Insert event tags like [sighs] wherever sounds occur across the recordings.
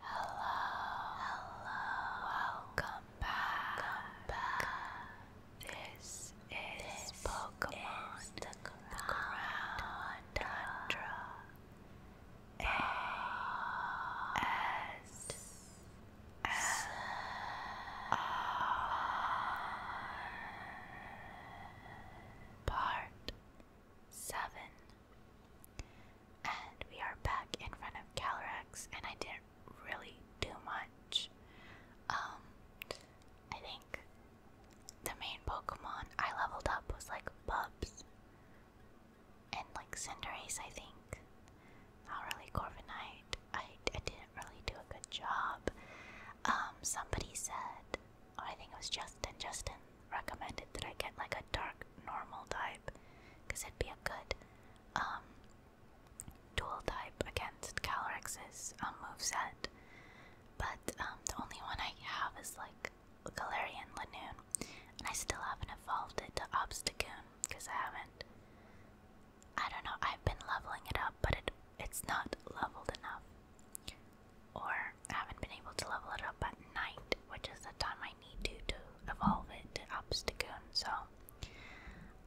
Hello, hello, welcome back. This is Pokemon is Part 7. And we are back in front of Calyrex, and I didn't really do much. Um, I think the main Pokemon I leveled up was like Bubs and like Cinderace, I think. Not really Corviknight. I, I didn't really do a good job. Um, somebody said, oh, I think it was Justin. Justin recommended that I get like a dark normal type, because it'd be a good um, dual type against Calyx's um, move set. But the only one I have is like Galarian Lanoon, and I still haven't evolved it to Obstagoon because I haven't. I don't know. I've been leveling it up, but it it's not leveled enough, or I haven't been able to level it up at night, which is the time I need to to evolve it to Obstagoon. So,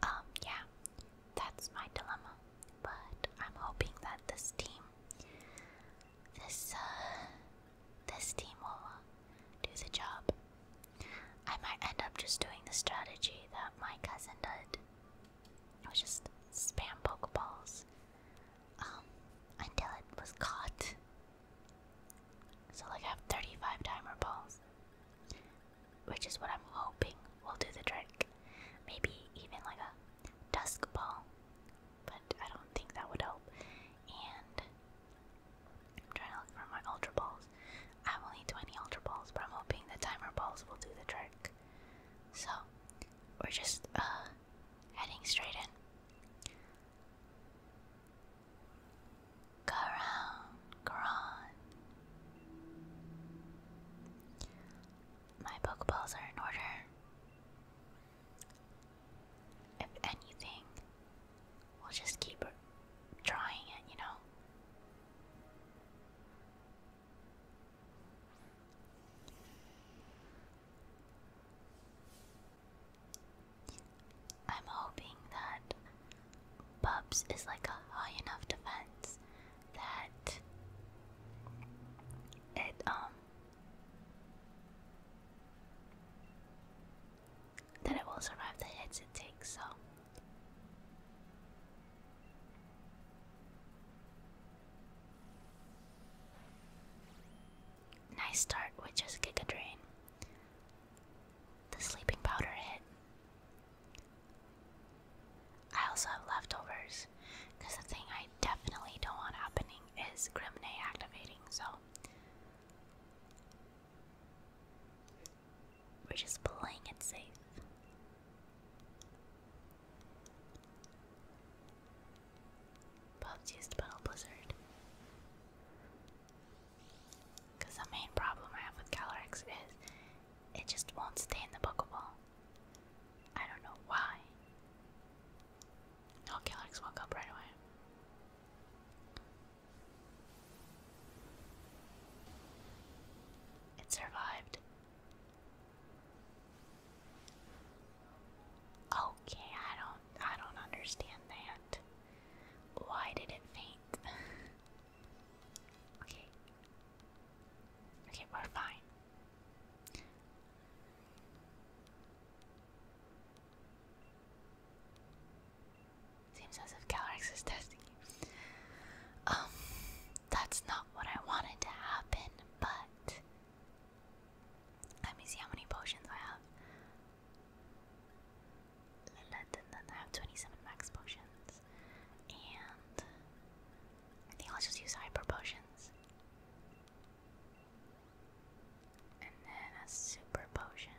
um, yeah, that's my dilemma. But I'm hoping that this team, this uh, this team will uh, do the job I might end up just doing the strategy that my cousin did. It was just spam Pokeballs um, until it was caught. So, like, I have 35 timer balls, which is what I'm hoping will do the trick. Maybe even like a dusk ball, but I don't think that would help. And I'm trying to look my Ultra Balls. I have only 20 Ultra Balls, but I'm hoping the Timer Balls will do the trick. So, we're just uh, heading straight in. Go around, go on. My Pokeballs are in order. If anything, We'll just keep trying it, you know? I'm hoping that Bubs is like a high enough defense that it um that it will survive the hits it takes, so. Nice start with just Giga Drain. The sleeping powder hit. I also have leftovers, because the thing I definitely don't want happening is Grimne activating, so we're just playing it safe. Bob's used Battle Blizzard. Because the main problem I have with Calyrex is it just won't stay in the Pokeball. I don't know why. No, Calyrex woke up right away. It survived. Okay, I don't I don't understand that. Why did it faint? [laughs] okay. Okay, we're fine. Seems as if Calyrex is testing you. Um, that's not what I wanted to happen, but let me see how many potions I have. Then I have 27 max potions, and I think I'll just use hyper potions, and then a super potion.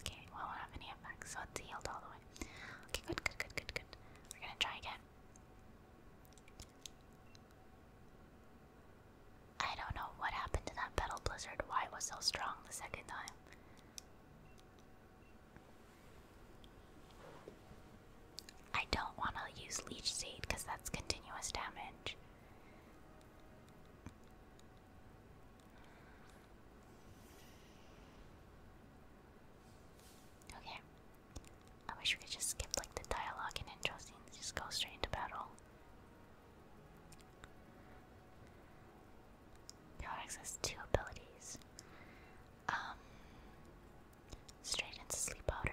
Okay, well, we don't have any effects, so it's healed all the way. Okay, good, good, good, good, good. We're gonna try again. I don't know what happened to that petal blizzard, why it was so strong the second time. I don't want to use Leech Seed because that's continuous damage. Okay. I wish we could just skip like the dialogue and intro scenes, just go straight into battle. Codex has two abilities. Um Straight into sleep powder.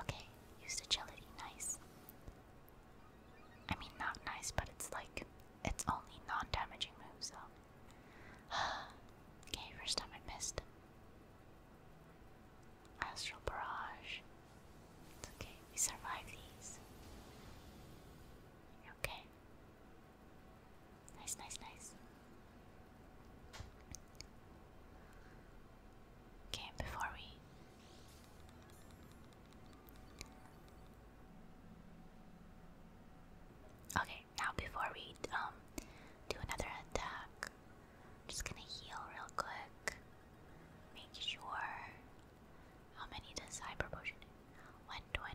Okay, used agility, nice. I mean, not nice, but it's like, it's only non damaging moves, though. [sighs] okay, first time I missed. Astral Barrage. It's okay, we survive these. Okay. Nice, nice, nice. Okay, before we Okay, now before we um do another attack, I'm just gonna heal real quick. Make sure how many does hyper potion? 120.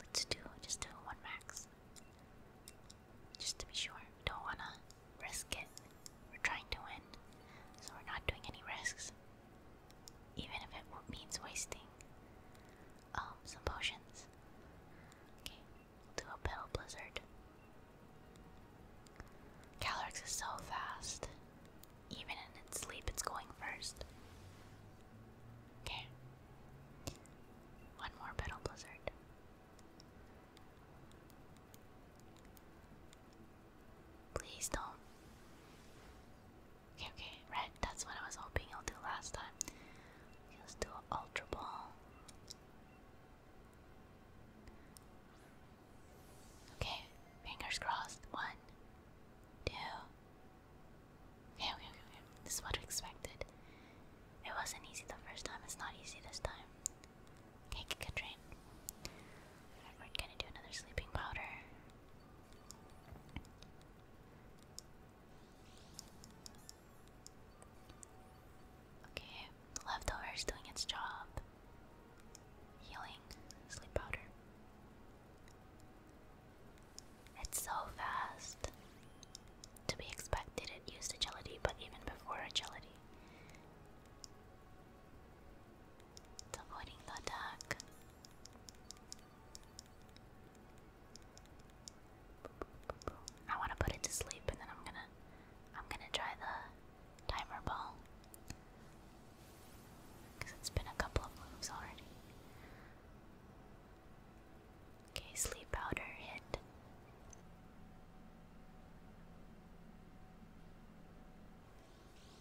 Let's do just do one max. Just to be sure, we don't wanna risk it. We're trying to win, so we're not doing any risks, even if it means wasting um some potions. Okay, we do a petal blizzard. Calyrex is so fast. Even in its sleep, it's going first. Okay. One more battle blizzard. Please don't. Okay, okay, right. That's what I was hoping you'll do last time. Okay, let do an ultra ball. Okay, fingers crossed. One, two. Okay, okay, This is what it wasn't easy the first time, it's not easy this time. Okay, good train. we're gonna do another sleeping powder. Okay, the leftovers doing its job. Healing, sleep powder. It's so fast. To be expected, it used agility, but even before agility. avoiding the attack. I want to put it to sleep, and then I'm gonna, I'm gonna try the timer ball because it's been a couple of moves already. Okay, sleep powder hit.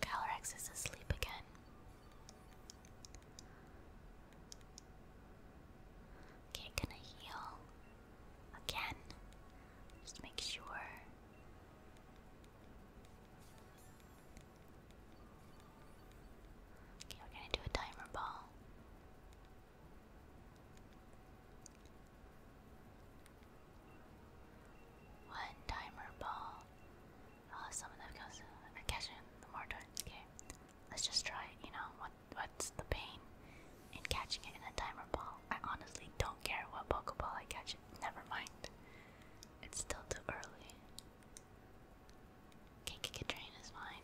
Calyrex is asleep again. Okay, gonna heal again. Just make sure. Okay, we're gonna do a timer ball. One timer ball. Oh, of them goes uh, catching the more times. Okay, let's just try You know what? What's the pain in catching it in a timer ball? I honestly don't care what Pokeball I catch it. Never mind. It's still too early. Okay, kick a train is mine.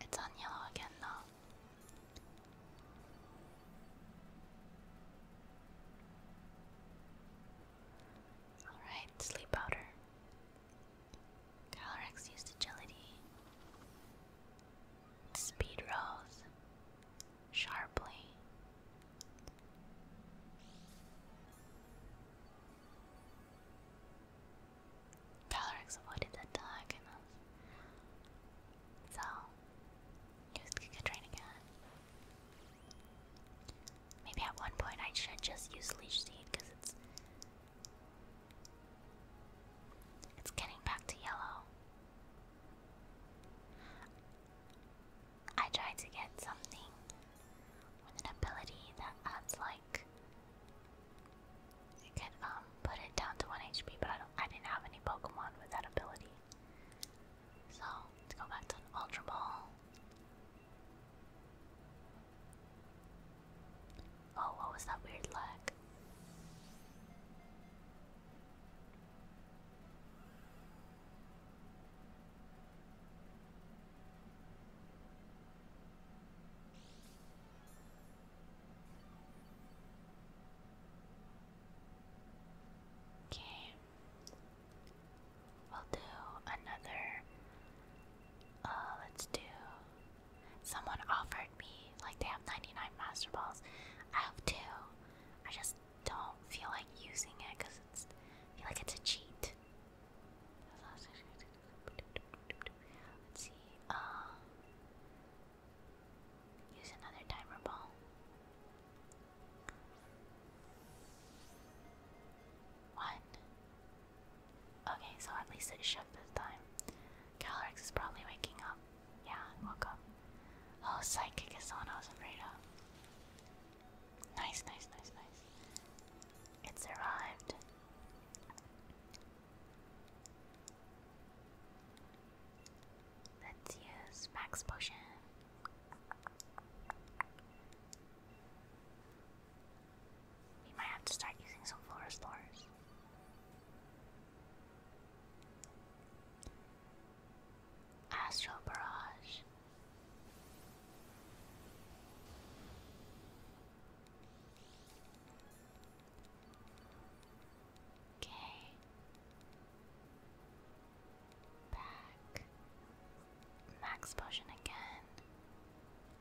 It's on yellow again now. Alright, sleep powder. Calyrex used agility. Speed rose sharply Valorix avoided the attack So, used Giga again. Maybe at one point I should just use Leech Seed because it's. It's getting back to yellow. I tried to get something with an ability that adds like I could um, put it down to one HP, but I don't I didn't have any Pokemon with that ability. So let's go back to an Ultra Ball. Oh, what was that weird lag? Okay, we'll do another. Uh, let's do. Someone offered me, like, they have 99 Master Balls. I have two. I just don't feel like using it because it's I feel like it's a cheat. Let's see. Uh, use another timer ball. One. Okay, so at least it shook this time. Calyrex is probably waking up. Yeah, woke up. Oh, Psychic is the I was afraid of. Nice, nice, nice, nice. It's arrived. Let's use max potion. We might have to start using some floor stores. Astral Barrage. Okay. Back. Max potion again.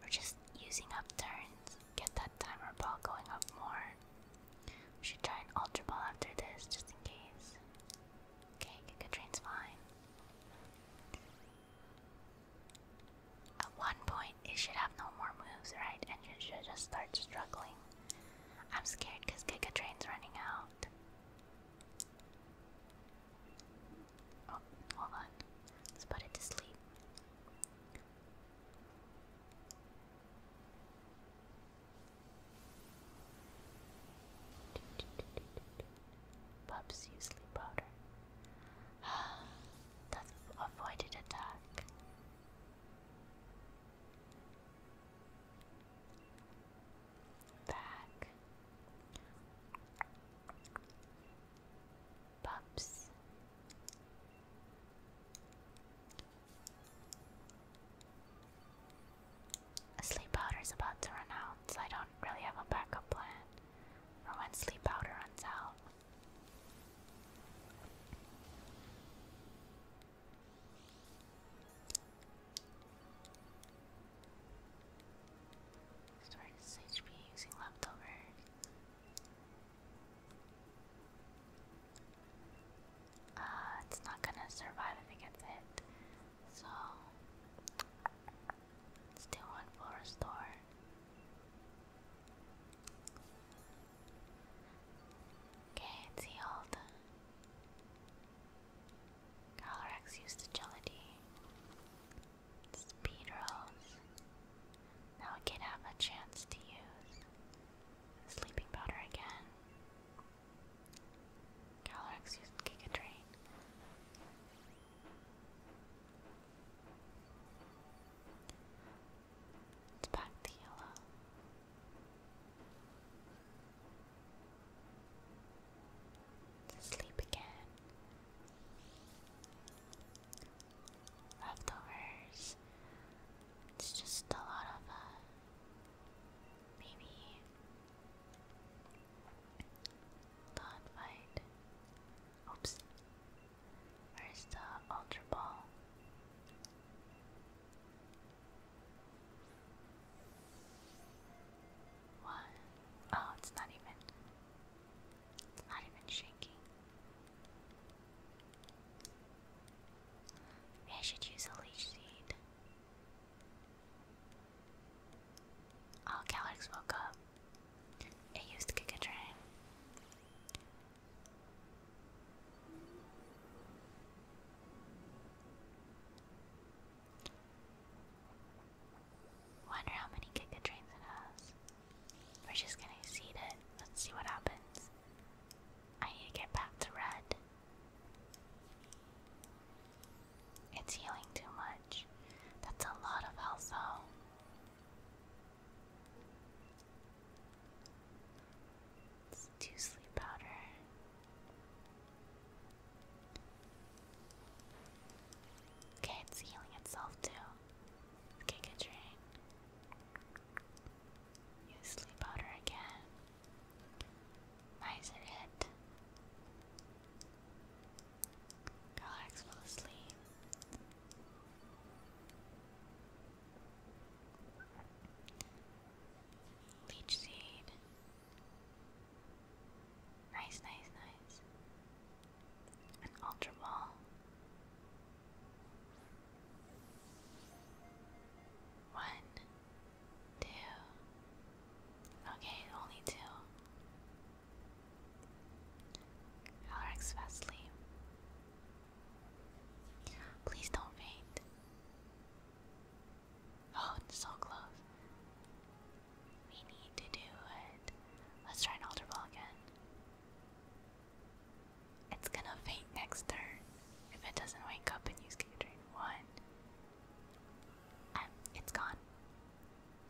We're just using up turns. Get that timer ball going up more. We should try an ultra ball after this just in case. Okay, Giga Train's fine. At one point, it should have no more moves, right? And it should just start struggling. I'm scared because Giga Train's running out. Oh, hold on. Let's put it to sleep. [laughs] Pups use sleep powder. [gasps] That's avoided attack. Back. Pups. Sleep powder is about to run out, I don't really have a backup plan. Or when sleep powder runs out. Storage HP using leftovers. Uh, it's not gonna survive if it gets hit. So Still one for a store. Okay, it's healed. Uh, Calyrex used agility. Speed rolls. Now we can have a chance to use sleeping powder again. Calyrex used Giga it's back to yellow. sleep again. Leftovers. It's just a lot of uh, maybe don't fight. Oops. Where's the Ultra Ball? What? Oh, it's not even. It's not even shaking. Maybe I should use a leech seed. Oh, Calyx woke up. It used to train. Wonder how many Giga Trains it has. We're just gonna see it. Let's see what happens. I need to get back to red. It's healing too much. That's a lot of health, though. Let's do sleep powder. Okay, it's healing itself too. Okay, Use sleep powder again. Nice it hit. Relax, fall asleep. Leech seed. Nice, nice, nice. An One, two. Okay, only two. Alex Wesley. Please don't faint. Oh, it's so close. We need to do it. Let's try an altar ball again. It's gonna faint next turn if it doesn't wake up and use Giga Drain. One. it's gone.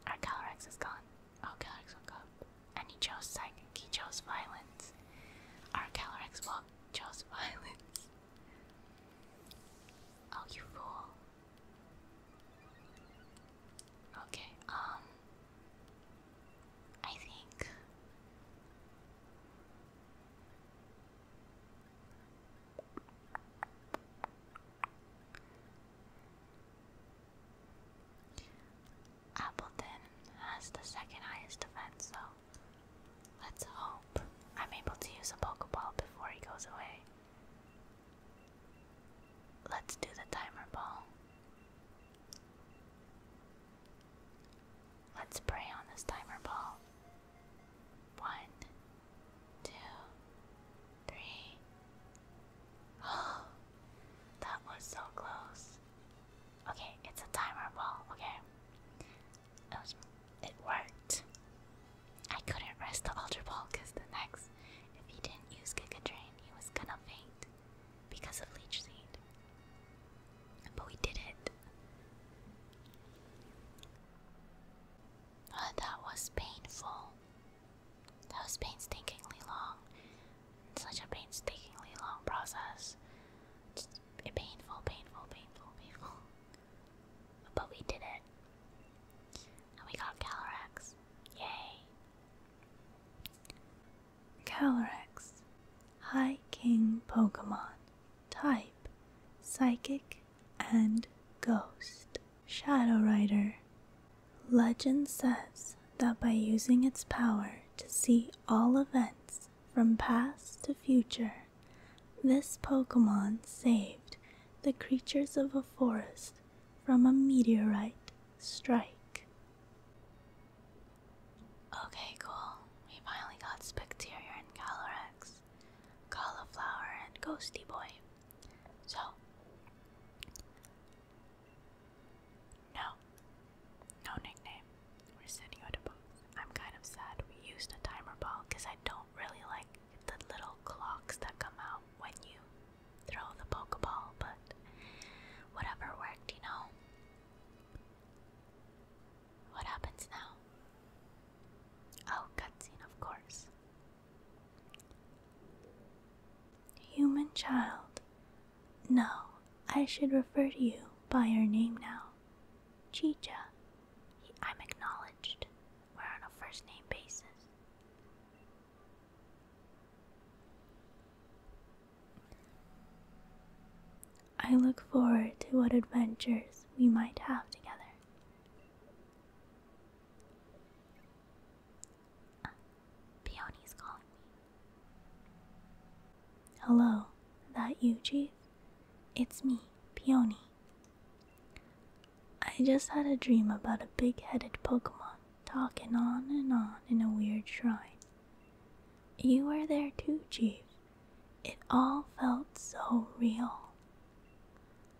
Our Calyrex is gone. Our Calyrex woke up. And he chose psychic. He chose violence. Our Calyrex woke, chose violence. [laughs] Oh, you fool. Okay, um. I think. Appleton has the second highest defense, so let's hope I'm able to use a Pokeball before he goes away. Let's do the timer ball. Let's pray on this timer ball. One, two, three. Oh, [gasps] that was so close. Okay, it's a timer ball. Okay, it, worked. I couldn't rest the Ultra Ball because the next, if he didn't use Kick Giga Drain, he was gonna faint because of Leech Seed. But we did it. Uh, that was painful. That was painstakingly long. Such a painstakingly long process. Just painful, painful, painful, painful. But we did it. And we got Calyrex. Yay! Calyrex. High King Pokemon. Type Psychic and Ghost. Shadow Rider. Legend says that by using its power to see all events from past to future, this Pokemon saved the creatures of a forest from a meteorite strike. Okay, cool. We finally got Specterior and Calyrex, Cauliflower and Ghosty Boy. So, no. No nickname. We're sitting at a box. I'm kind of sad we used a timer ball because I don't really like the little clocks that come out when you throw the Pokeball, but whatever worked, you know? What happens now? Oh, cutscene, of course. Human child. No, I should refer to you by your name now. Chicha. I'm acknowledged. We're on a first name basis. I look forward to what adventures we might have together. Peony's calling me. Hello, that you, Chief? It's me, Peony. I just had a dream about a big headed Pokemon talking on and on in a weird shrine. You were there too, Chief. It all felt so real.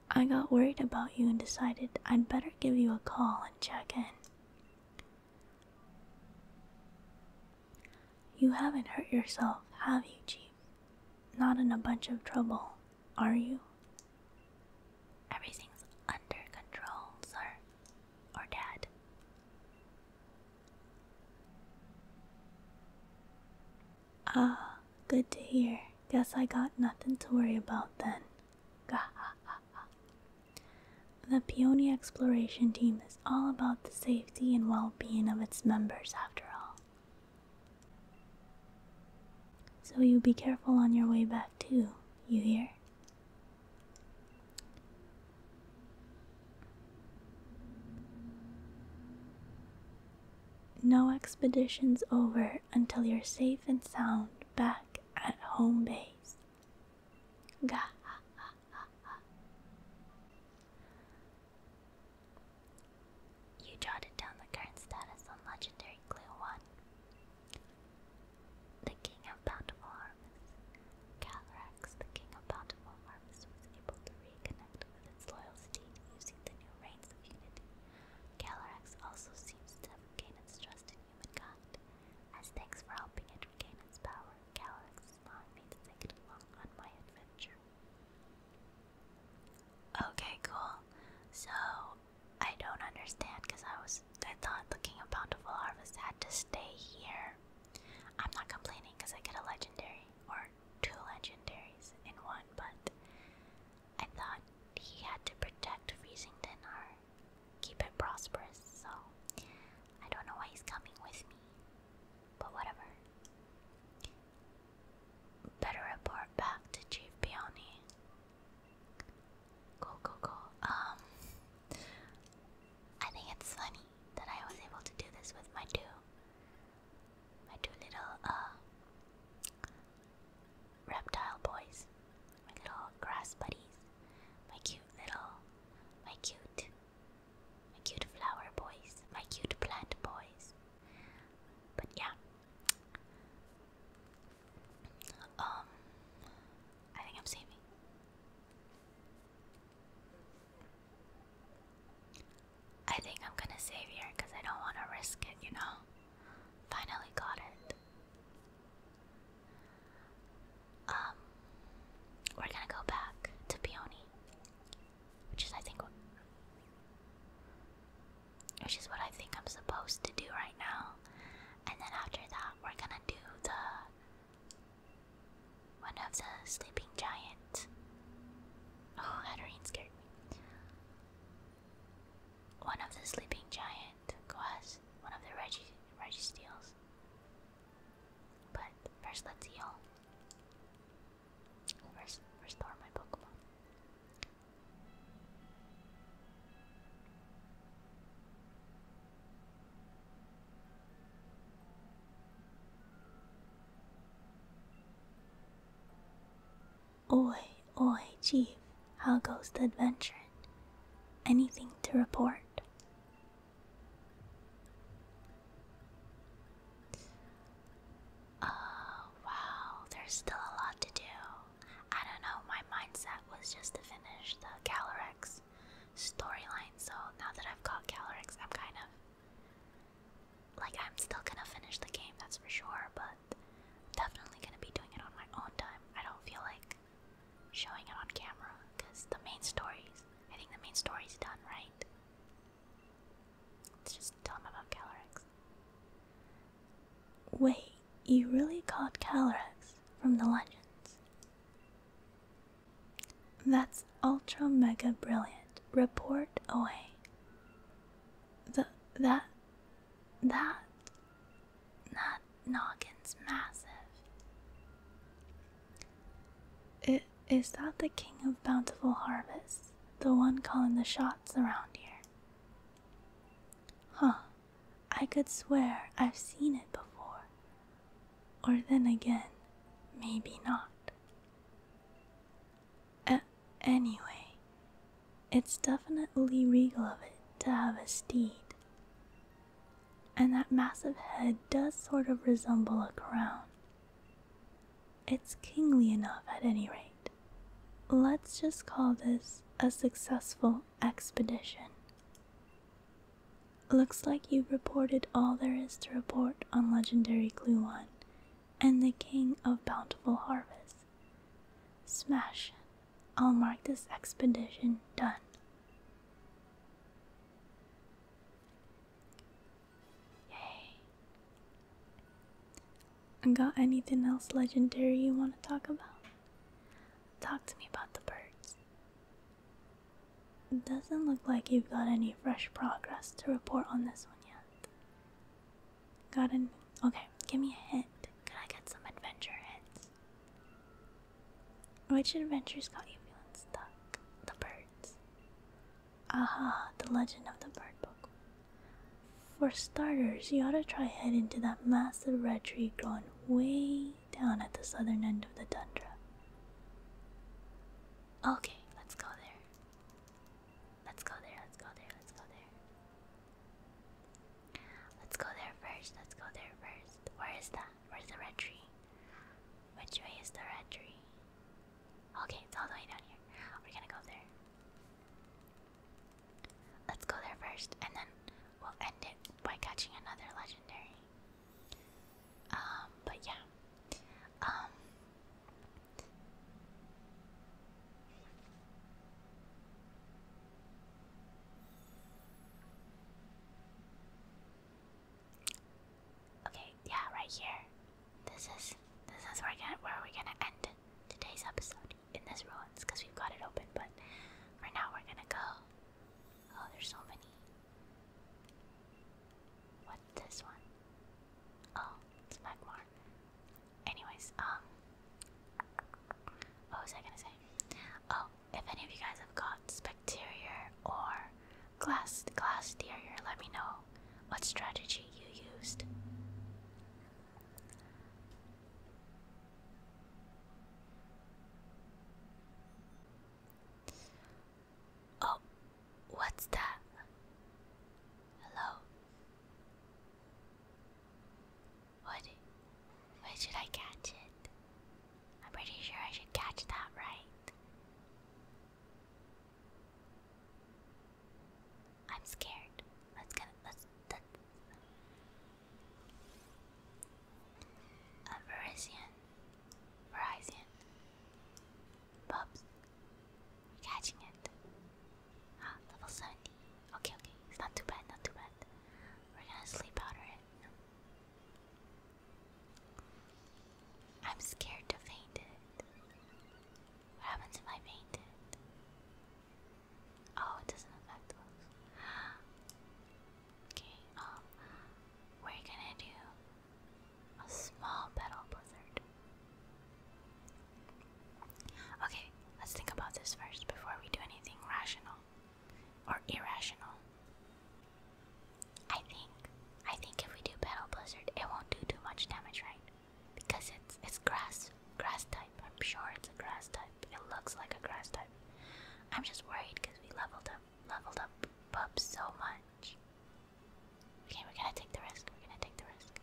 I got worried about you and decided I'd better give you a call and check in. You haven't hurt yourself, have you, Chief? Not in a bunch of trouble, are you? Everything's under control, sir. Or dad. Ah, good to hear. Guess I got nothing to worry about then. Gahaha. The Peony Exploration Team is all about the safety and well being of its members, after all. So you be careful on your way back, too, you hear? No expedition's over until you're safe and sound back at home base face. You jotted down the current status on Legendary Clue 1. The King of Bountiful Harvest. Calrax, the King of Bountiful Harvest, was able to reconnect with its loyal steed using the new Reins of Unity. Calrax also seems to have gained its trust in as thanks for helping it regain its power, Calyx is allowing me to take on my adventure. Okay, cool. So I don't understand because I was I thought looking a bountiful harvest had to stay here. I'm not complaining because I get a legendary or two legendaries in one, but I thought he had to protect Freezington or keep it prosperous, so I don't know why he's coming with me, but whatever. Better report back to Chief Peony. Go, go, go. Um, I think it's funny that I was able to do this with my two, my two little, uh, reptile boys, my little grass buddies, my cute little, my cute, my cute flower boys, my cute plant boys. But yeah, um, I think I'm saving. I think I'm gonna save here because I don't want to risk it, you know? Finally got it. Um, we're gonna go back to Peony, which is I think, what, which is what I think I'm supposed to do right now. And then after that, we're gonna do the one of the sleeping giant. Oh, Hatterene scared me. One of the sleeping giant and one of the Reggie Regi steals. But first let's heal. First restore my Pokemon. Oi, oi, Chief. How goes the adventure? Anything to report? Oh, wow, there's still a lot to do. I don't know, my mindset was just to finish the Calyrex storyline, so now that I've got Calyrex, I'm kind of like I'm still gonna finish the game, that's for sure, but definitely gonna be doing it on my own time. I don't feel like showing it on camera because the main storys I think the main story's done, right? Let's just tell him about Calyrex. Wait, you really caught Calyrex from the legends? That's ultra mega brilliant. Report away. The that that not Noggin's massive. It, is that the king of bountiful harvests? The one calling the shots around here? Huh. I could swear I've seen it before. Or then again, maybe not. anyway, it's definitely regal of it to have a steed and that massive head does sort of resemble a crown. It's kingly enough at any rate. Let's just call this a successful expedition. Looks like you've reported all there is to report on legendary Gluon and the King of Bountiful Harvest. Smash I'll mark this expedition done. Yay. Got anything else legendary you want to talk about? Talk to me about the birds. doesn't look like you've got any fresh progress to report on this one yet. Got an okay, give me a hint. Can I get some adventure hints? Which adventures got you feeling stuck? The birds. Aha, the legend of the bird book. For starters, you ought to try heading to that massive red tree growing way down at the southern end of the tundra. Okay, let's go there. Let's go there, let's go there, let's go there. Let's go there first. Let's go there first. Where is that? Where's the red tree? Which way is the red tree? Okay, it's all the way down here. We're gonna go there. Let's go there first, and then we'll end it by catching another legendary. Um, but yeah. Um. Okay, yeah, right here. This is this is where, gonna, where we're gonna end today's episode in this ruins because we've got it open. But for now, we're gonna go. Oh, there's so many. What this one? Oh, it's Magmar. Anyways, um, what was I gonna say? Oh, if any of you guys have got Specterior or Glass Glass Terrier, let me know what strategy you used. Oh, what's that? Hello. What? Where should I catch it? I'm pretty sure I should catch that right. I'm scared. Let's get let's Verizon. Verizon. Bubs. catching it. Ah, level 70. Okay, okay. It's not too bad, not too bad. We're gonna sleep powder it. I'm scared to faint it. What happens if I faint it? Oh, it doesn't affect us. [gasps] okay, um, we're gonna do a small petal blizzard. Okay, let's think about this first before we do anything rational or irrational. I think I think if we do Battle Blizzard, it won't do too much damage, right? Because it's it's grass grass type. I'm sure it's a grass type. It looks like a grass type. I'm just worried because we leveled up leveled up Pup so much. Okay, we're gonna take the risk. We're gonna take the risk.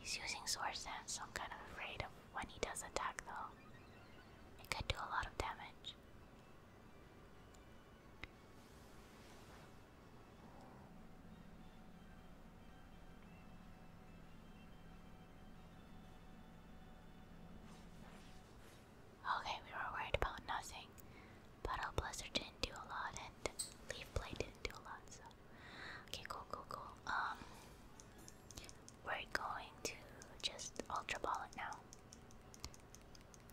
He's using sword stance, so I'm kind of afraid of when he does attack though. It could do a lot of damage. Okay, we were worried about nothing, but our Blizzard didn't do a lot, and Leaf Blade didn't do a lot, so. Okay, cool, cool, cool. Um, we're going to just Ultra Ball it now.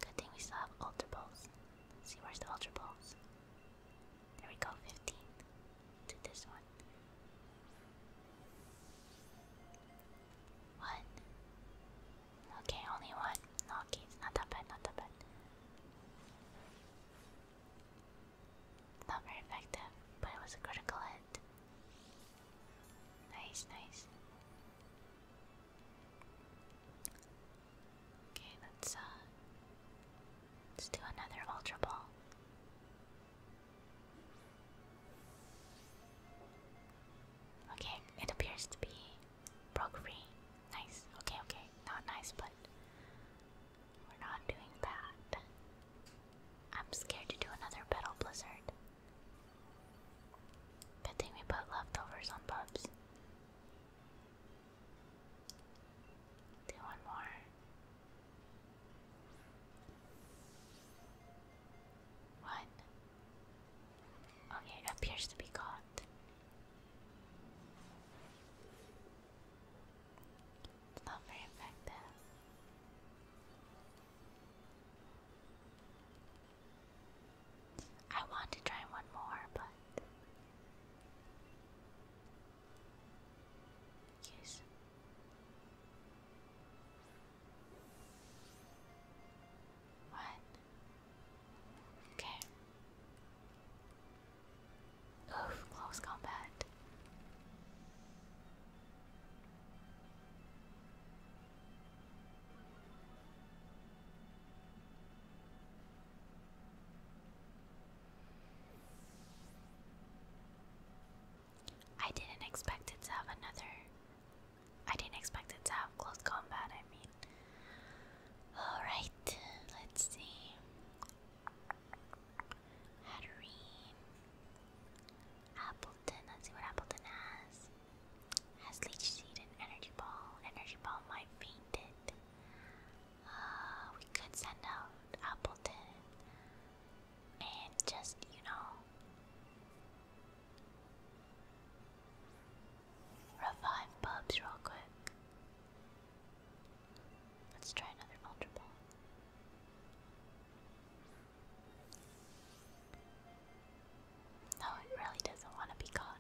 Good thing we still have Ultra Balls. see, where's the Ultra Balls? There we go, 15. To this one. One. Okay, only one. No, okay, not that bad, not that bad. Not very effective, but it was a critical hit. Nice, nice. Okay, let's uh let's do another ultra ball. Okay, it appears to be broke free. Nice. Okay, okay. Not nice, but we're not doing bad. I'm scared to do another battle blizzard. Good thing we put leftovers on pups. Do one more. One. Okay, appears to be caught. It's not very effective. I want to try one more, but yes. One. Okay. Oof, close combat. I didn't expect it to have another. I didn't expect it to have close combat, I mean. Alright, let's see. Hatterene. Appleton, let's see what Appleton has. Has Leech Seed an Energy Ball? Energy Ball might faint it. Uh, we could send out Appleton and just, you know, revive Bubs real quick. Let's try another Ultra no, it really doesn't want to be caught.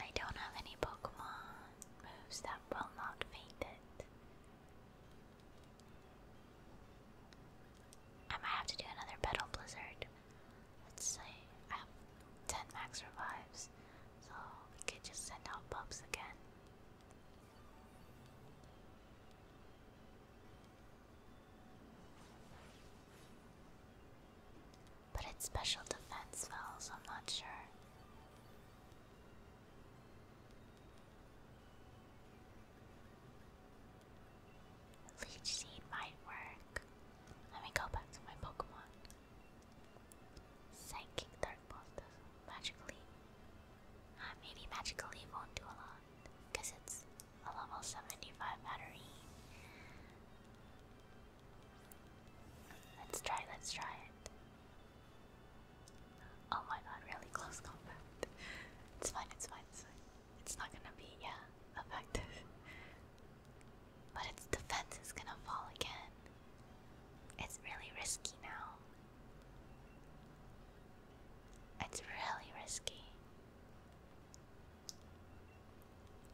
I don't have any Pokemon moves that will not faint it. I might have to do another Petal Blizzard. Let's say I have 10 max revives, so we could just send out Bubs again. But it's special defense fells, I'm not sure. Leech Seed might work. Let me go back to my Pokemon. Psychic Dark Bolt does magically maybe Magical Leaf won't do a lot because it's a level 75 battery. Let's try, let's try it. Oh my god, really close combat. It's fine, it's fine, it's fine. It's not gonna be, yeah, effective. but its defense is gonna fall again. It's really risky now. It's really risky.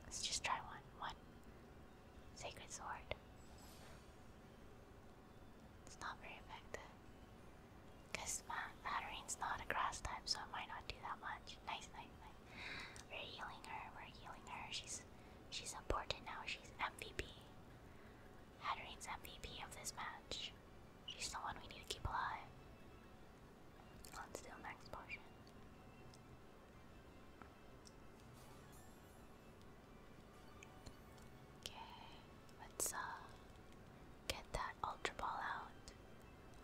Let's just try one. One. Sacred Sword. It's not very effective. Because Matarine's not a grass type, so it might not do that much. Nice, nice, nice. We're healing her. We're healing her. She's she's important now. She's MVP. Hattereen's MVP of this match. She's the one we need to keep alive. Let's do max potion. Okay, let's uh get that ultra ball out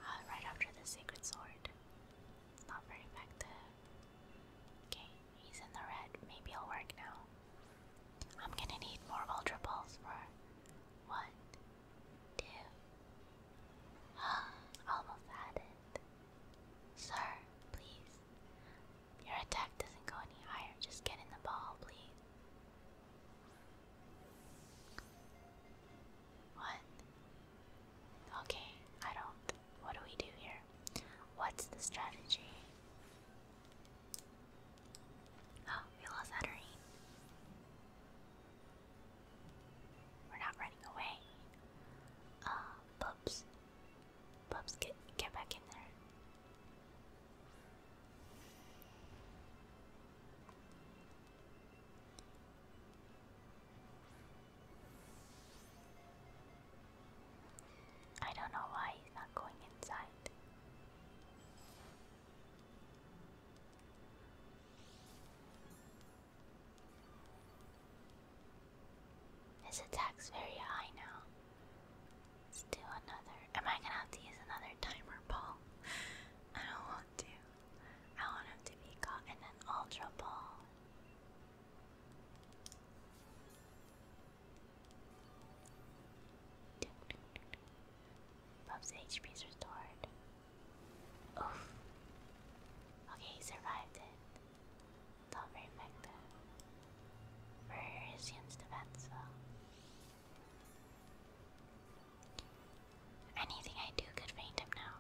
uh, right after the sacred sword. Not very effective. Okay, he's in the red. Maybe it'll work now. I'm gonna need more Ultra Balls for one, two. [gasps] almost had Sir, please. Your attack doesn't go any higher. Just get in the ball, please. What? Okay, I don't. What do we do here? What's the strategy? Oh, we lost Hatterene. We're not running away. Uh, oh, Bubs. Bubs, get, get back in there. I don't know why he's not going inside. His attack's very high now. Let's do another. Am I gonna have to use another timer ball? I don't want to. I want him to be caught in an ultra ball. Bob's HP is restored. Oof. Okay, he survived it. Not very effective. Versions defense though. Anything I do could faint him now.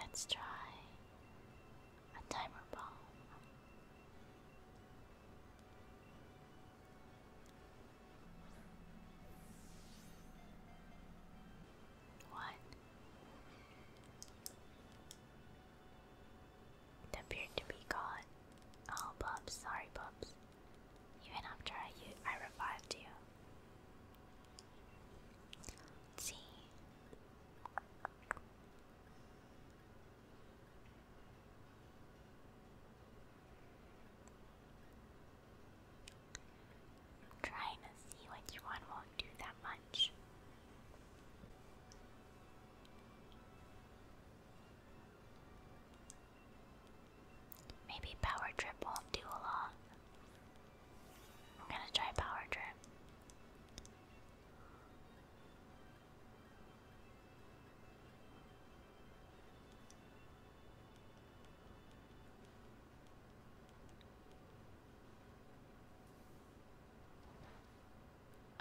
Let's try a timer bomb. What? It appeared to be gone. Oh, Bubs, sorry, Bubs. Even after I, I revived you. see. Trying to see which one won't do that much. Maybe power trip won't do a lot. I'm gonna try power trip.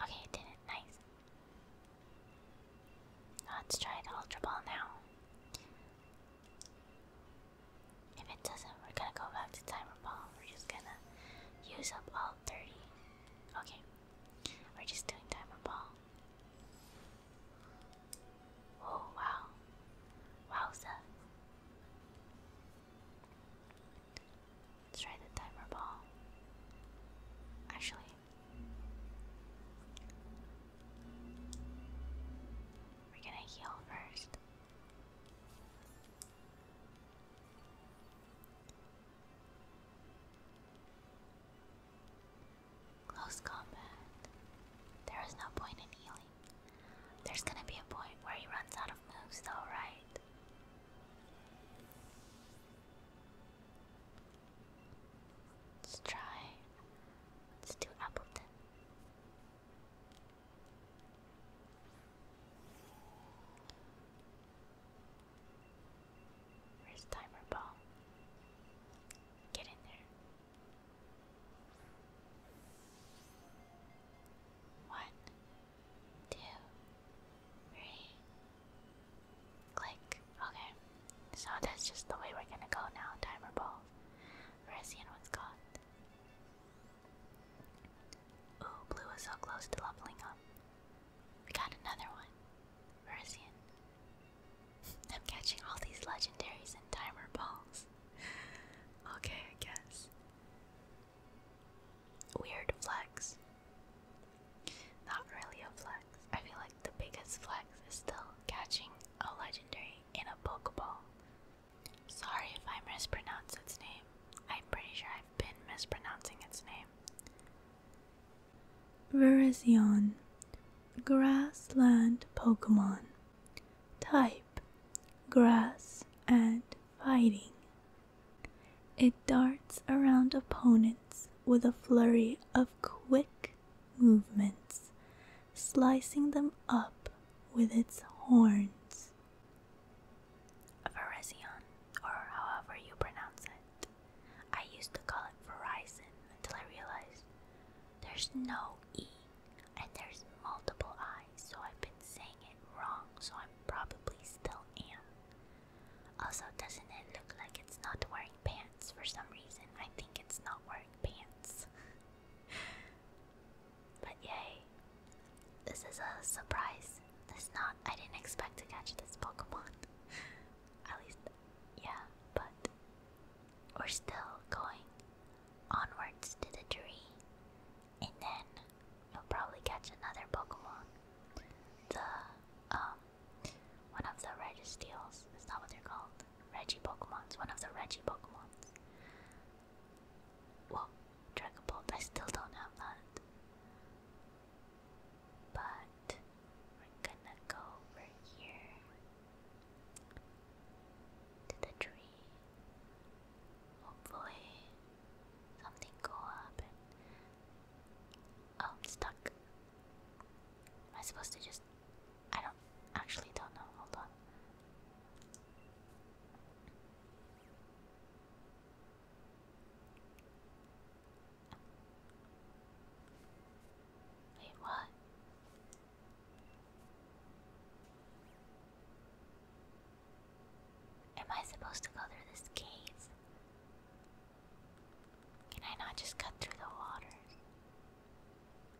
Okay, did it. Nice. Let's try the Ultra Ball now. If it doesn't, we're gonna go back to Timer Ball. We're just gonna use up all 30. Okay. We're just doing diamond ball. Oh wow. Wowza. Let's try the timer ball. Actually. We're gonna heal first. Close combat. There is no point in healing. There's gonna be a point where he runs out of moves, though, right? Let's try. Let's do Appleton. Where's timer ball? Get in there. One, two, three. Click. Okay. So that's just the way we're gonna go now. Timer ball. We're seeing what's caught. Ooh, blue is so close to leveling up. We got another one. Russian. I'm catching all these legendaries and timer balls. okay, I guess. Weird flex. Not really a flex. I feel like the biggest flex is still catching a legendary in a Pokeball. Sorry if I mispronounce its name. I'm pretty sure I've been mispronouncing its name. Virizion, grassland Pokemon. Type, grass and fighting. It darts around opponents with a flurry of quick movements, slicing them up with its horns. Virizion, or however you pronounce it, I used to call it Verizon until I realized there's no E and there's multiple I's, so I've been saying it wrong, so I am probably still am. Also, doesn't it look like it's not wearing pants for some reason? I think it's not wearing pants. [laughs] but yay. This is a surprise this not I didn't expect to catch this Pokemon. [laughs] At least yeah, but we're still going onwards to the tree. And then you'll probably catch another Pokemon. The um one of the Registeals, is that what they're called? Reggie Pokemons, one of the Reggie Pokemons. Well, Dragon Bolt, I still don't have that. But we're gonna go over here to the tree. Hopefully something go up oh, I'm stuck. Am I supposed to just? I don't actually don't know. Hold on. Wait, what? Am I supposed to go through this cave? Can I not just cut through the waters?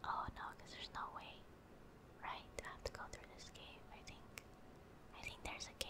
Oh no, because there's no way. Right? I have to go through this cave, I think. I think there's a cave.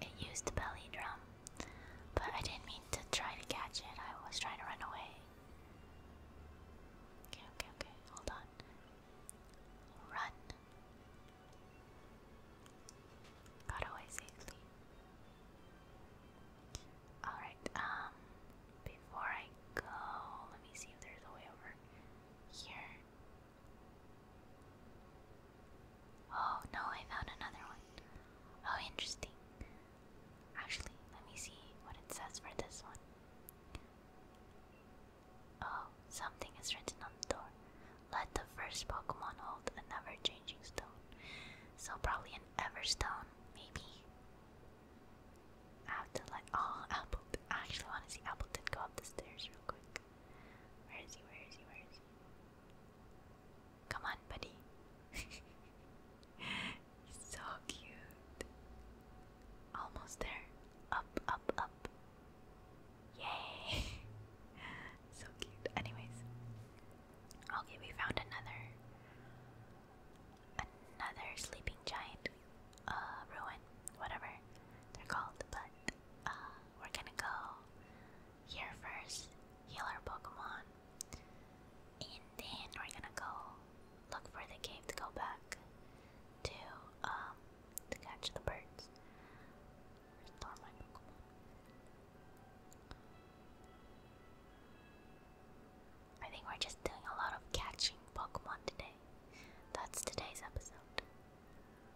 It used the belly drum, but I didn't mean to try to catch it. I was trying to run away. Okay, okay, okay. Hold on. Run. Got away Alright, um, before I go, let me see if there's a way over here. Oh no, I found another one. Oh, interesting. Actually, let me see what it says for this one. Oh, something is written on the door. Let the first Pokemon hold an changing stone. So, probably an Everstone, maybe. have to let. Oh, Apple. I actually want to see Apple go up the stairs real quick. Where is he? Where is he? Where is he? Come on, buddy. [laughs] so cute. Almost there. Up, up, up. Yay! [laughs] so cute. Anyways. Okay, we found another another sleeping giant uh ruin, whatever they're called, but uh, we're gonna go here first, heal our Pokemon, and then we're gonna go look for the cave to go back to um to catch the birds. Restore my Pokemon. I think we're just doing a lot of catching Pokemon today. That's today's episode.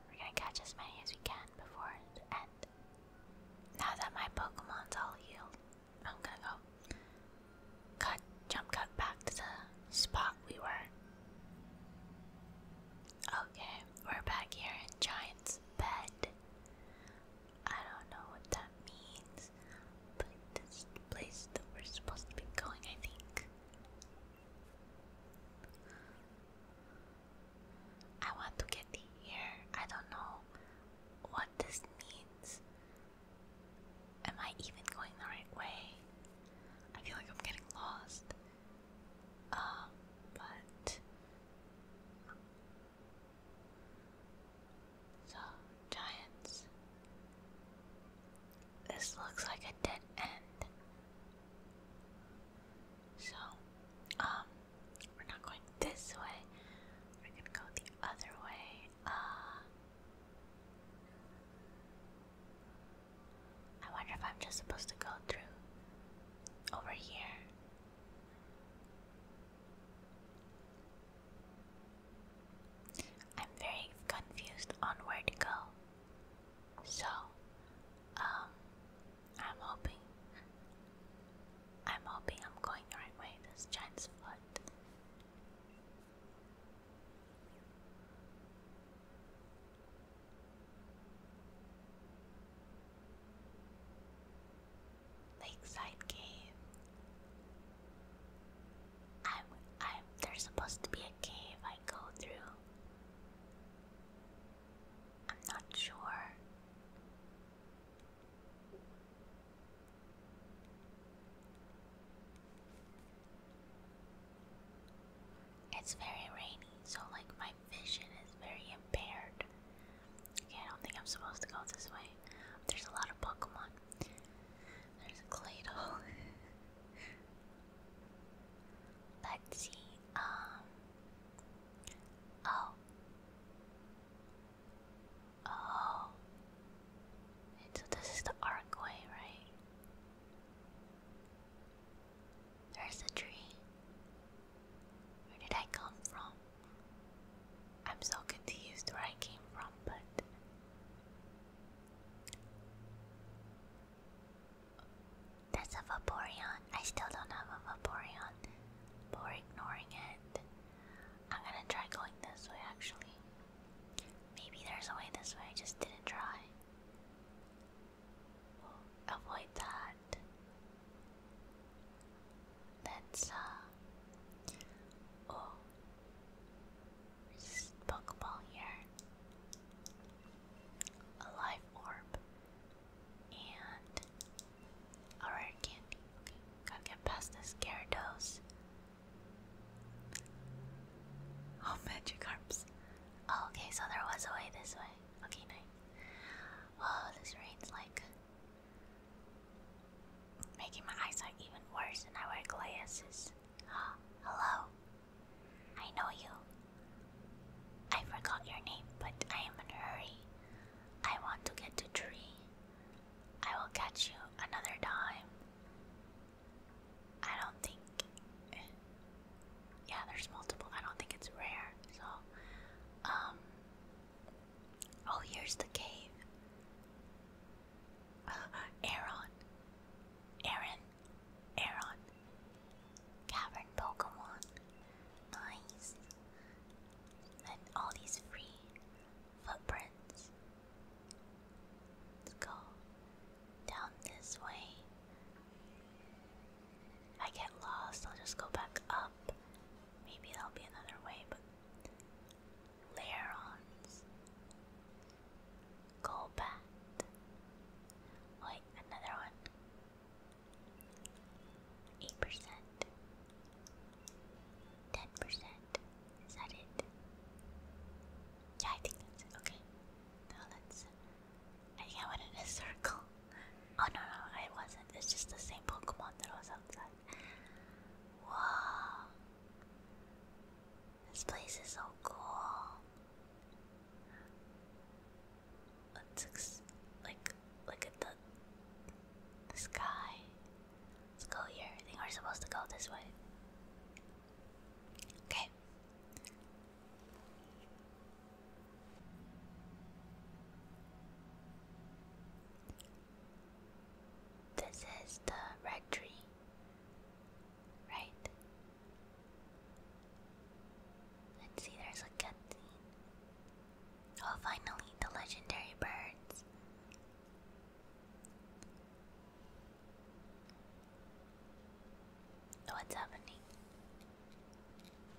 We're gonna catch as many as we can before the end. Now that my Pokemon's all healed, I'm gonna go cut, jump cut back to the spot we were. Okay, we're back here in Giant's bed. I don't know what that means, but this place that we're supposed to be going, I think. I want to get here. I don't know what this means. Am I even going the right way? I feel like I'm getting lost. Um, but. So, Giants. This looks like a dead end. So, um, we're not going this way. We're gonna go the other way. Uh, I wonder if I'm just supposed to go through over here. I'm very confused on where to go. So, um, I'm hoping. I'm hoping I'm going the right way. This giant's foot. Lakeside Cave. I'm. I'm. There's supposed to be a cave I go through. I'm not sure. It's very rainy, so like my vision is very impaired. I don't think I'm supposed to go this way. There's a lot of Pokemon. There's a Claydol. [laughs] Let's see. Um, Oh. Oh. so this is the archway, right? There's the tree. Where did I come from? I'm so confused where I came from, but that's a Vaporeon. I still don't have a Vaporeon. But we're ignoring it. I'm gonna try going this way actually. Maybe there's a way this way, I just didn't try. avoid that. That's uh oh there's Pokeball here. A live orb. And a candy. Okay, gotta get past this Gyarados. Oh, Magikarps. Oh, okay, so there was a way this way. Okay, nice. Whoa, this rain's like making my eyesight even worse, and I wear glasses. [gasps] Hello. I know you. I forgot your name, but I am in a hurry. I want to get to tree. I will catch you another time. I don't think. Yeah, there's multiple. I don't think it's rare. So, um. Oh, here's the cave. [laughs] Aaron. Aaron. Aaron. Cavern Pokemon. Nice. And all these free footprints. Let's go down this way. I get lost, I'll just go back up. Maybe there'll be another way, but Larons. Go Wait, another one. Eight percent. Ten percent. Is that it? Yeah, I think that's it. Okay. Now let's. I think I in a circle. Oh no, no, I wasn't. It's just the same Pokemon that was outside. Wow. This place is so cool let's like look at the sky. Let's go here. I think we're supposed to go this way. Okay. This is the red tree, right? Let's see, there's a canteen. Oh, finally, the legendary birds. What's happening?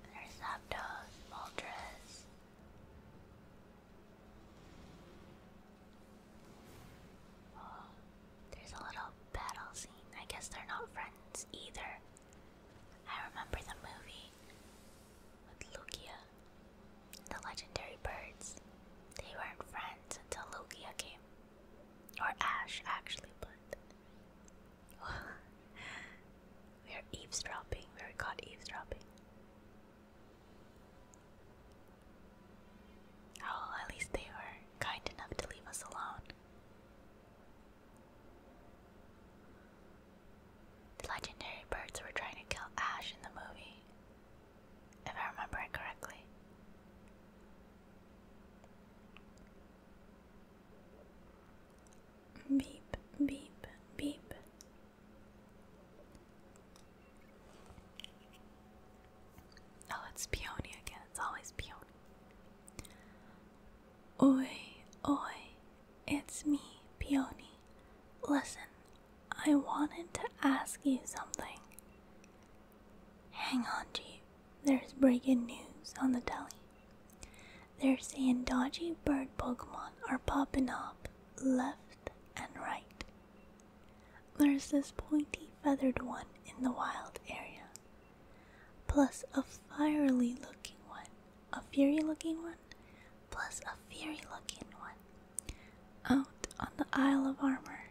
There's Zapdos, Moltres. Oh, there's a little battle scene. I guess they're not friends either. I remember the movie with Lugia, the legendary birds. They weren't friends until Lugia came. Or Ash, actually, but. [laughs] we are eavesdropping. We are caught eavesdropping. Oh, at least they were kind enough to leave us alone. The legendary birds were trying to kill Ash in the movie, if I remember it correctly. Beep, beep, beep. Oh, it's Peony again. It's always Peony. Oi, oi, it's me, Peony. Listen, I wanted to ask you something. Hang on, Jeep. There's breaking news on the telly. They're saying dodgy bird Pokemon are popping up left and right. There's this pointy feathered one in the wild area, plus a fiery looking one, a fury looking one, plus a fairy looking one, out on the Isle of Armor.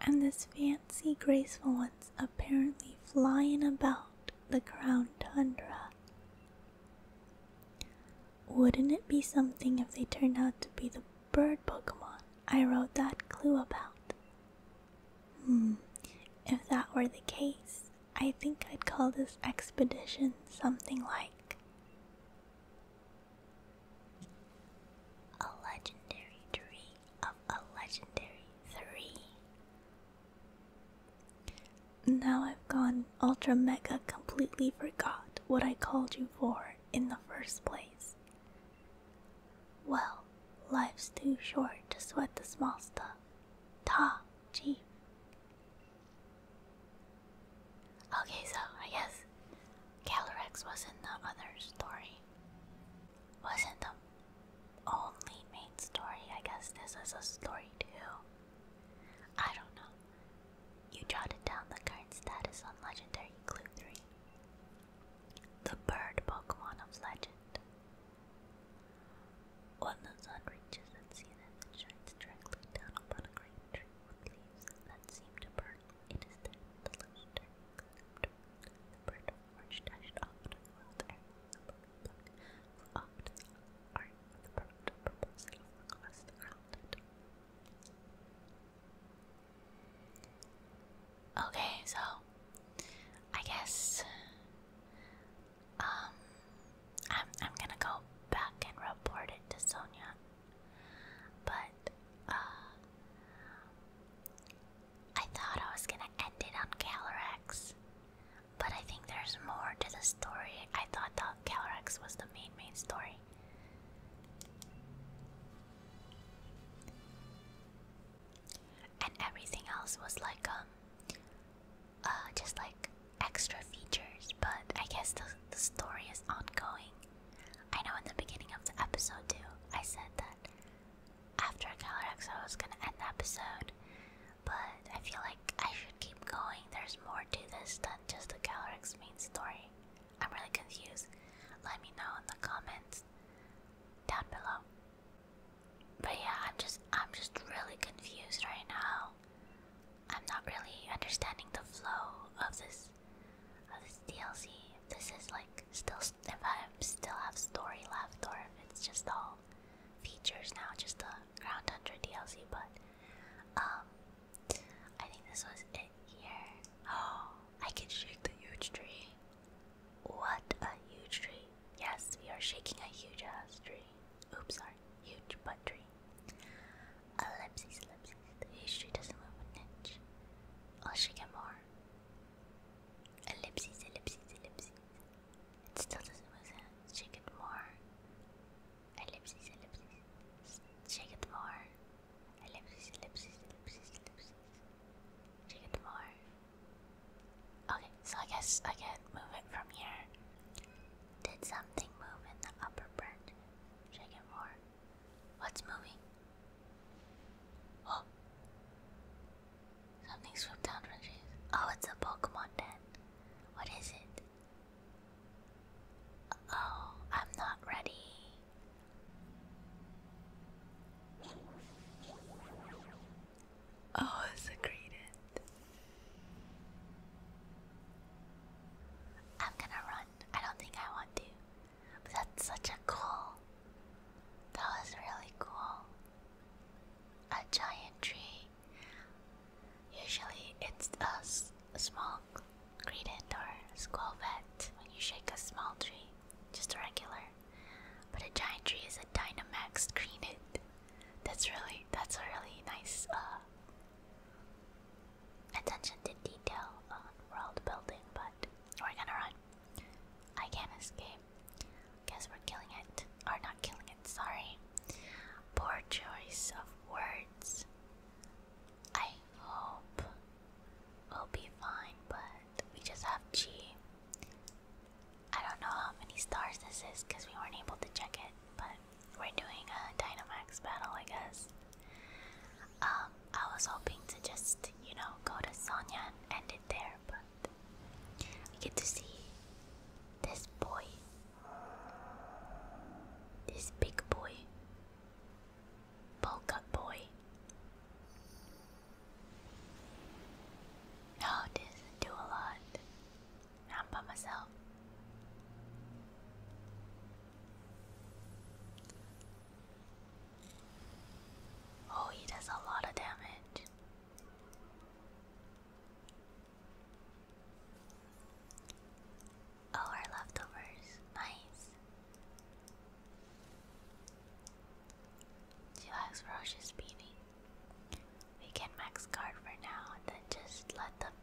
And this fancy, graceful one's apparently flying about the crown tundra. Wouldn't it be something if they turned out to be the bird Pokemon I wrote that clue about? Hmm, if that were the case, I think I'd call this expedition something like a legendary tree of a legendary three. Now I've gone ultra mega completely forgot what I called you for in the first place. Well, life's too short to sweat the small stuff. Ta! G. Okay, so I guess Calyrex was not the other story. Wasn't the only main story. I guess this is a story too. I don't know. You jotted down the current status on Legendary Clue 3. The bird Pokemon of Legend. When the sun reaches its zenith, it shines directly down upon a great tree with leaves that seem to burn. It is then the luster the bird orange dashed off to the world air. to the art of the bird to propose it across the Okay, so I guess um, I'm I'm gonna go back and report it to Sonia. But uh, I thought I was gonna end it on Calyrex, but I think there's more to the story. I thought that Calyrex was the main main story. And everything else was like um uh, just like extra features, but I guess the, the story is ongoing. I know in the beginning of the episode, too, I said that after Calyrex I was gonna end the episode, but I feel like I should keep going. There's more to this than just the Calyrex main story. I'm really confused. Let me know in the comments down below. But yeah, I'm just I'm just really confused right now. I'm not really understanding the flow of this of this DLC. this is like still if I still have story left or if it's just all features now, just the Ground Hunter DLC. But um, I think this was it here. Oh, [gasps] I can shake the huge tree. What a huge tree! tree. Yes, we are shaking a huge ass tree. Oops, sorry, huge butt tree. Ellipses, ellipses. The huge tree doesn't move an inch. I'll shake it more. Ellipses, ellipses, ellipses. It still doesn't move an inch. Shake it more. Ellipses, ellipses. Shake it more. Ellipses, ellipses, ellipses, ellipses. Shake it more. Okay, so I guess I can move it from here. Did something move in the upper branch? Check it more. What's moving? Oh! Something swooped down from Oh, it's a Pokemon den. What is it? Oh, I'm not ready. Oh, secreted. I'm gonna run. I don't think I want to. that's such a cool. That was really cool. A giant tree. Usually it's a small credent or squelvet when you shake a small tree, just a regular. But a giant tree is a Dynamax credent. That's really that's a really nice uh, attention to detail on world building. But we're gonna run. I can't escape. Guess we're killing it. Or not killing it. Sorry. Poor choice of words. I hope we'll be fine, but we just have G. I don't know how many stars this is because we weren't able to check it, but we're doing a Dynamax battle, I guess. Um, I was hoping to just, you know, go to Sonia and end it there, but we get to see this boy. This big boy. Polka boy. No, oh, this do a lot. Now I'm by myself. Oh, he does a lot of damage. Oh, our leftovers. Nice. She likes ferocious beating. We can max guard for now then just let them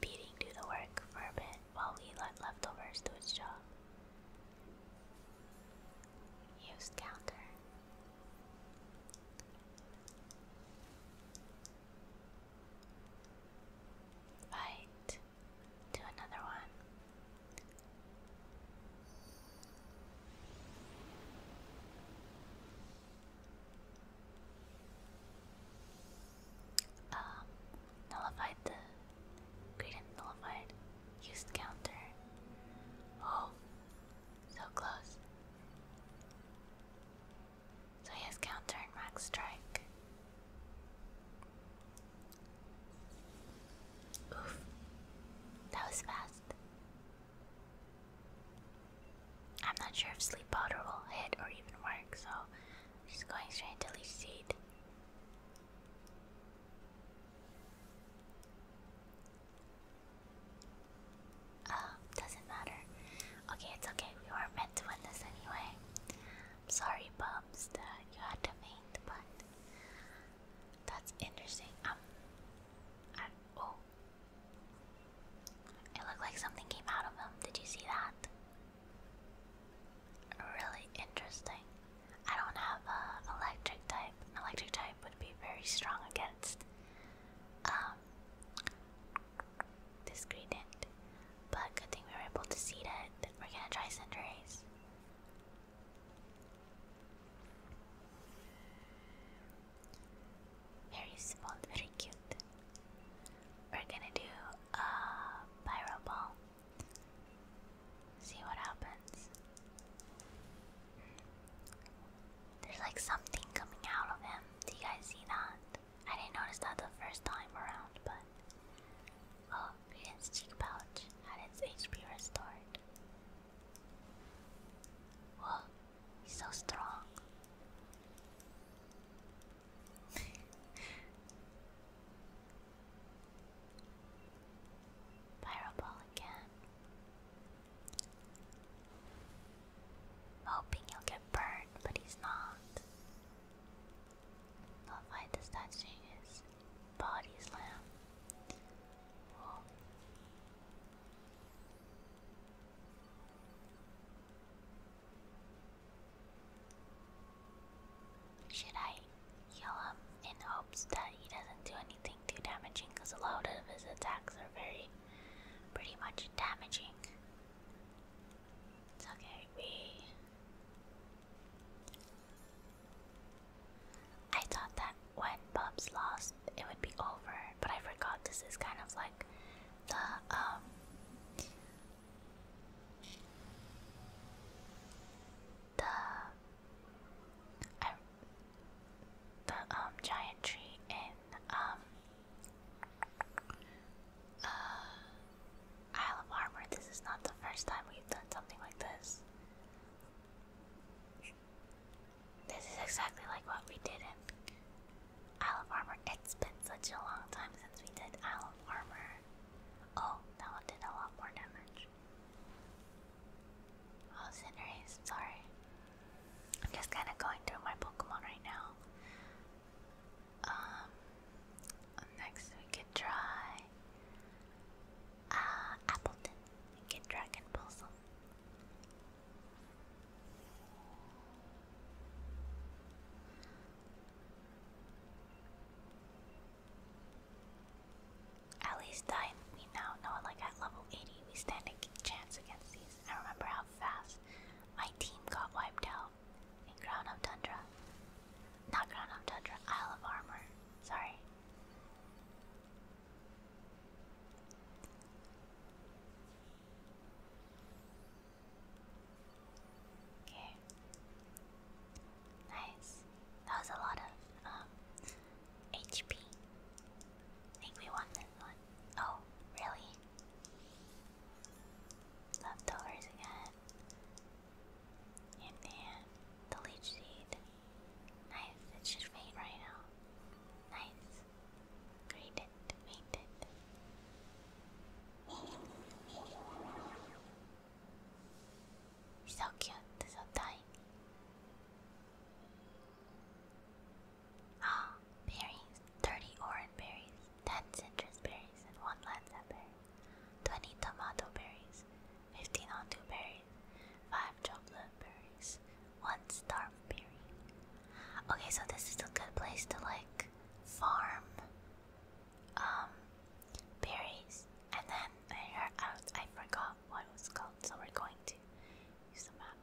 Beating do the work for a bit while we let leftovers do its job. Used counter. Fight. Do another one. Um, nullified the great nullified used counter. Oh, so close. So he has counter and max strike. Oof, that was fast. I'm not sure if sleep powder will hit or even work, so I'm just going straight to leech seed. Oh, doesn't matter. Okay, it's okay. We were meant to win this anyway. sorry, Bums, that you had to faint, but that's interesting. oh, it looked like something came out of him. Did you see that? Really interesting. I don't have a electric type. electric type would be very strong against um, this gradient. But good thing we were able to see that. We're gonna try Cinderace. Very small, very cute. We're gonna do a pyro ball. See what happens. There's like something coming out of him. Do you guys see that? I didn't notice that the first time around, but oh, Green's cheek pouch had its HP restored. Well, He's so strong. [laughs] Pyroball again. Hoping he'll get burned, but he's not. I'll fight touching his body slam. Should I heal him in hopes that he doesn't do anything too damaging? Because a lot of his attacks are very, pretty much damaging. It's okay, we. I thought that when Bubs lost, it would be over, but I forgot this is kind of like the um the the um giant tree in um uh, Isle of Armor. This is not the first time we've done something like this. This is exactly like what we did in Island Armor. It's been such a long time since we did Island Armor. Oh, that one did a lot more damage. Oh, Cinderace, sorry. I'm just kind of going through my Pokemon right now. Um, next we could try uh, Appleton and get Dragon Pulse. At least I we now know like at level 80 we stand a chance against these. I remember how fast my team got wiped out in Ground of Tundra. Not Crown of Tundra, Isle of Armor. Sorry. Okay. Nice. That was a lot of um, HP. I think we won this one. Oh, really? Leftovers again. And then the leech seed. Nice. It should fade right now. Nice. Read it, So cute, so tiny. Ah, berries. 30 orange berries, 10 citrus berries, and 1 lanza berry. 20 tomato berries, 15 onto berries, 5 chocolate berries, 1 star Okay, so this is a good place to like farm um, berries. And then I forgot what it was called, so we're going to use the map.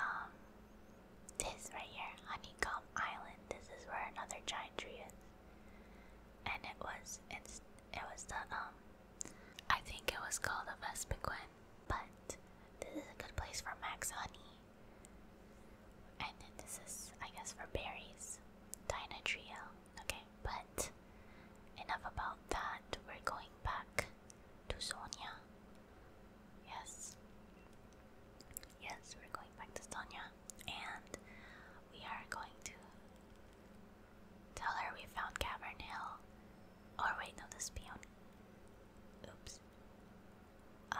Um, this right here, Honeycomb Island. This is where another giant tree is. And it was it's it was the um I think it was called a Vespiquen, but this is a good place for max honey. And then this is, I guess, for berries. Dynatrio. Okay, but enough about that. We're going back to Sonia. Yes. Yes, we're going back to Sonia. And we are going to tell her we found Cavern Hill. oh, wait, no, this peon. Oops uh,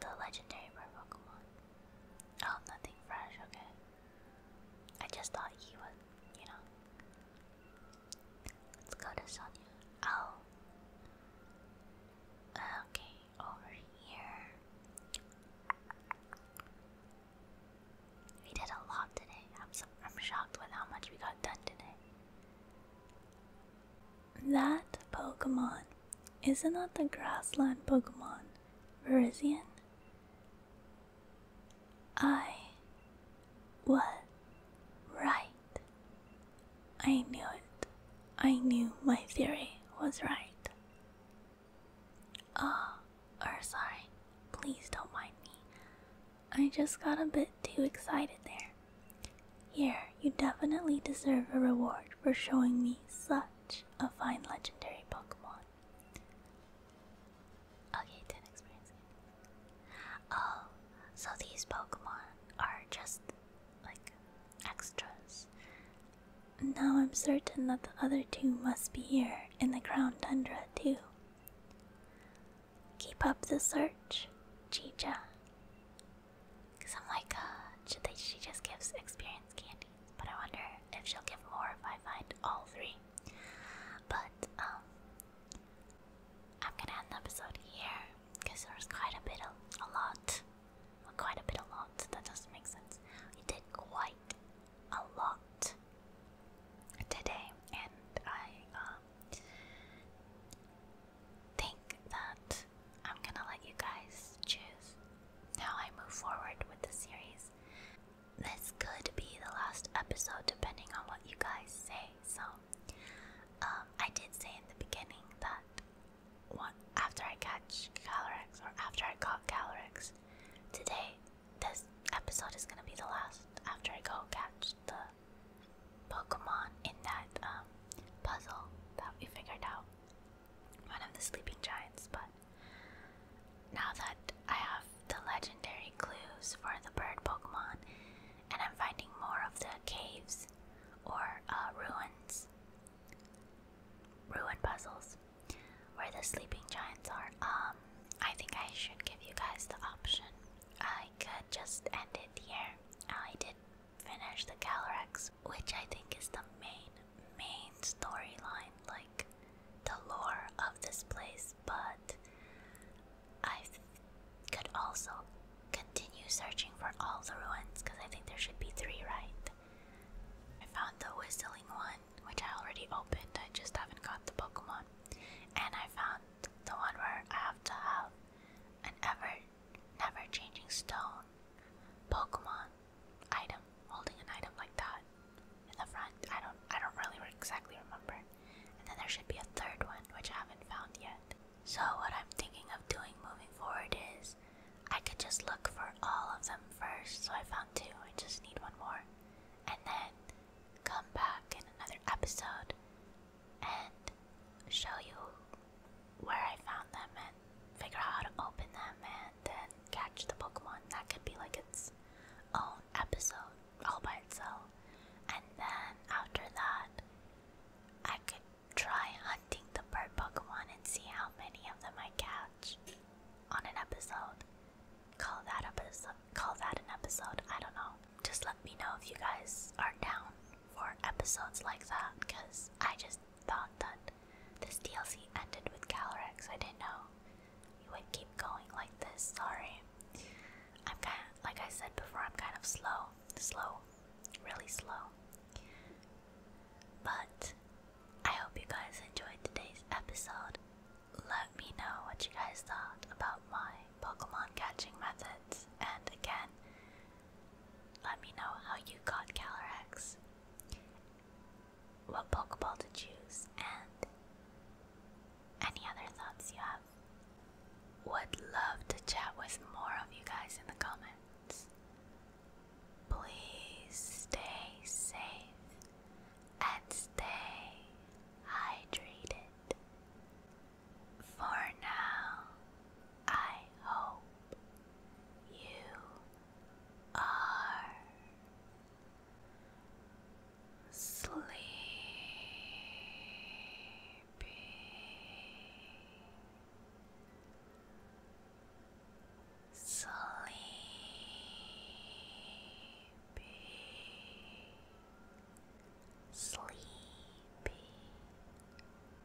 the legendary rare Pokemon. Oh, nothing fresh, okay. I just thought he was, you know. Let's go to Sonya. Oh. Okay, over here. We did a lot today. I'm, so, I'm shocked with how much we got done today. That Pokemon. Isn't that the grassland Pokemon? Verizian? I was right. I knew it. I knew my theory was right. Ah, oh, or sorry. Please don't mind me. I just got a bit too excited there. Here, you definitely deserve a reward for showing me such a fine legendary Pokemon. Okay, 10 experience. Oh, so these Pokemon are just like extras. Now I'm certain that the other two must be here in the Crown Tundra, too. Keep up the search, Chicha. Cause I'm like, uh, she just gives experience candy, but I wonder if she'll give more if I find all three. But um, I'm gonna end the episode here because there was quite a bit of a lot, quite a bit a lot. That doesn't make sense. We did quite a lot today, and I um, think that I'm gonna let you guys choose how I move forward with the series. This could be the last episode depending on what you guys say. So, um, I did say in the beginning that after I catch Calyrex or after I caught Calyrex today, this episode is gonna be the last after I go catch the Pokemon in that um, puzzle that we figured out. One of the sleeping giants, but now that I have the legendary clues for the bird Pokemon, and I'm finding more of the caves or uh, ruins, ruin puzzles where the sleeping giants are. Um, I think I should give you guys the option. I could just end it here. I did finish the Calyrex, which I think is the main, main storyline, like the lore of this place, but I could also continue searching for all the ruins because I think there should be three, right? I found the whistling one, which I already opened, I just haven't got the Pokemon. And I found the one where I have to have an ever Never changing stone. Pokemon. Item. Holding an item like that. In the front. I don't I don't really exactly remember. And then there should be a third one which I haven't found yet. So what I'm thinking of doing moving forward is I could just look for all of them first. So I found two. I just need one more. And then come back in another episode and show you where I found them and figure out how to open them and then catch the Pokemon. That could be like its own episode all by itself. And then after that, I could try hunting the bird Pokemon and see how many of them I catch on an episode. Call that episode. Call that an episode. I don't know. Just let me know if you guys are down for episodes like that because I just thought that this DLC ended with Calyrex. I didn't know you would keep going like this. Sorry. I'm kind of, like I said before, I'm kind of slow. Slow. Really slow. But I hope you guys enjoyed today's episode. Let me know what you guys thought about my Pokemon catching methods. And again, let me know how you got Calyrex, what Pokeball to choose, and any other thoughts you have. Would love to chat with more of you guys in the comments. Please stay safe and stay hydrated. For now, I hope you are sleepy. Sleepy. Sleepy.